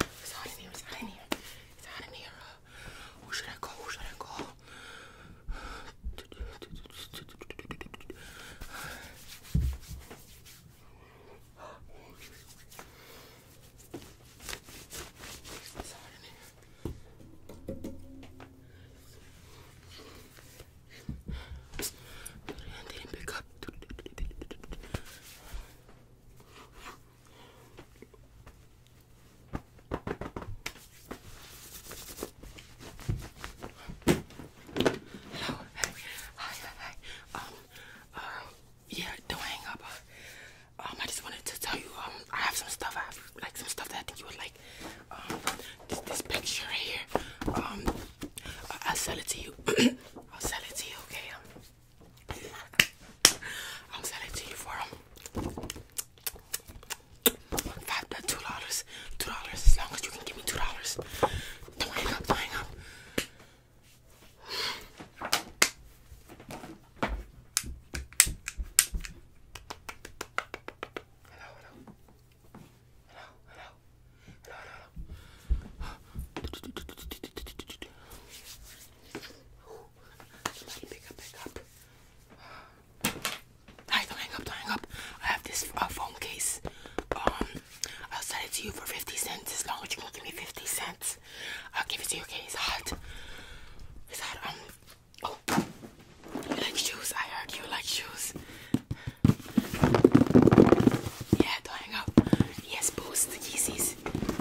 It's out in here. It's out in here. It's out in here. Uh. Who should I call? Who should I call? It's hot Hello, hey, hi, hi, Um, um, yeah, don't hang up. um, I just wanted to tell you, um, I have some stuff. I have like some stuff that I think you would like. Um, this, picture here. Um, I'll sell it to you. I'll sell it to you. Okay. Um. I'm it to you for them. Um, five to uh, two dollars. Two dollars as long as you can give me two dollars. Don't hang up, don't hang up. hello. Hello, hello. Hello, hello, hello. Somebody don't hang up, don't hang up. I have this uh, phone case. Um, I'll send it to you for 50 cents as long as you can give me 50 cents. I'll give it to you, okay? It's hot. It's hot. Um, oh, you like shoes? I heard you like shoes. Yeah, don't hang up. Yes, boost the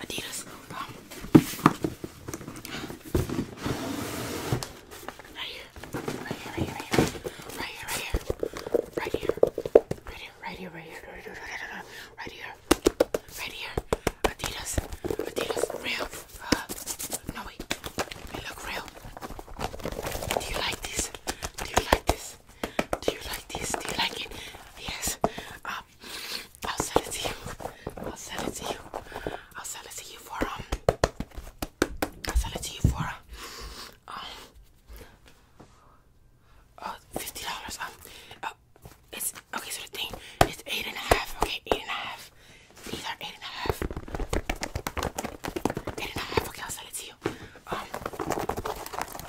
Adidas. Um, right here. Right here, right here, right here. Right here, right here. Right here, right here, right here, right here, right here. Right here. Adidas. Adidas. Real. Uh, no wait. They look real. Do you like this? Do you like this? Do you like this? Do you like it? Yes. Um, I'll send it to you. I'll send it to you. I'll send it to you for um. I'll send it to you for um. Uh, fifty dollars. Um, uh, it's okay. So the thing, it's eight and a half. Okay, eight and a half. These eight and a half. Eight and a half. Okay, I'll send it to you. Um,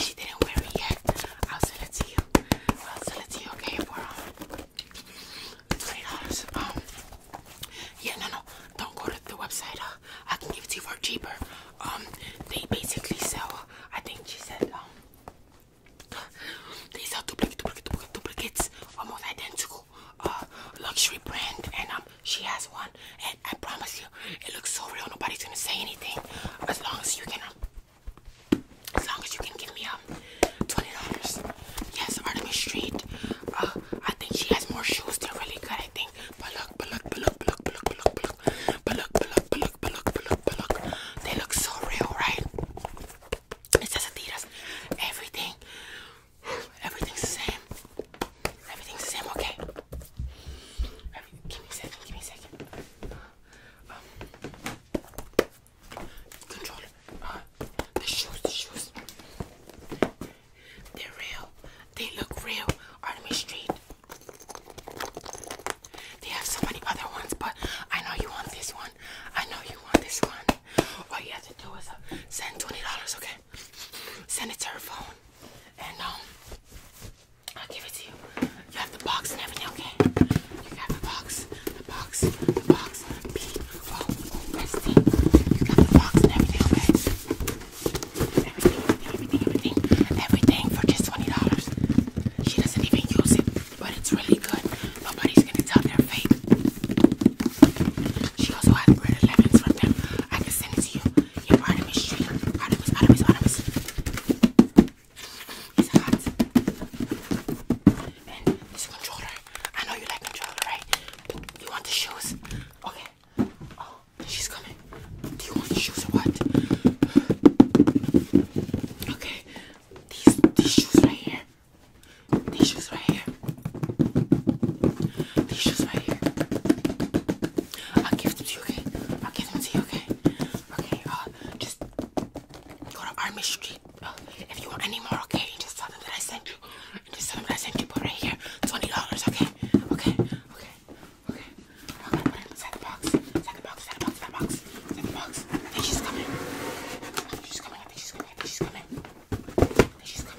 she, didn't wear it yet. I'll sell it to you. I'll sell it to you, okay? For um, $20. Um, yeah, no, no. Don't go to the website. Uh, I can give it to you for cheaper. Um, they basically sell, I think she said, um, they sell duplicate, duplicate, duplicates, almost identical, uh, luxury brand, and um, she has one, and I promise you, it looks so real, nobody's gonna say anything, as long as you can, um, as long as you can give me um twenty dollars. Yes, Artemis Street. Uh, I think she has more shoes. They're really good. I think. look, look, look, look, look, look, look, look, look, look, look, look, look. They look so real, right? It says Adidas. Everything. Everything's the same. Everything's the same. Okay. give me a second. Give me a second um, the shoes, the shoes. They're real. They look real. Artemis Street. They have so many other ones, but I know you want this one. I know you want this one. All you have to do is uh, send twenty dollars, okay? Send it to her phone, and um, I'll give it to you. You have the box and everything, okay? You got the box, the box, the box, P O S T. You got the box and everything, okay? Everything, everything, everything, everything for just twenty dollars. She doesn't even use it, but it's really good. Nobody's gonna tell they're fake. She also has red lemons from them. I can send it to you. Your Artemis Street, Artemis, Artemis, Artemis. It's hot. And this controller. I know you like controller, right? You want the shoes? Okay. Oh, she's coming. Do you want the shoes or what? Okay. These these shoes right here. These shoes right here. These shoes right here. I'll give them to you, okay? I'll give them to you, okay? Okay, uh, just go to Army Street. Uh, if you want any more, okay, just tell them that I sent you. Just tell them that I sent you. Put right here, twenty dollars. Okay, okay, okay, okay. i inside the box. Inside the box. Inside the box. Inside the box. Inside the box. she's coming. she's coming. she's coming. she's coming. she's coming.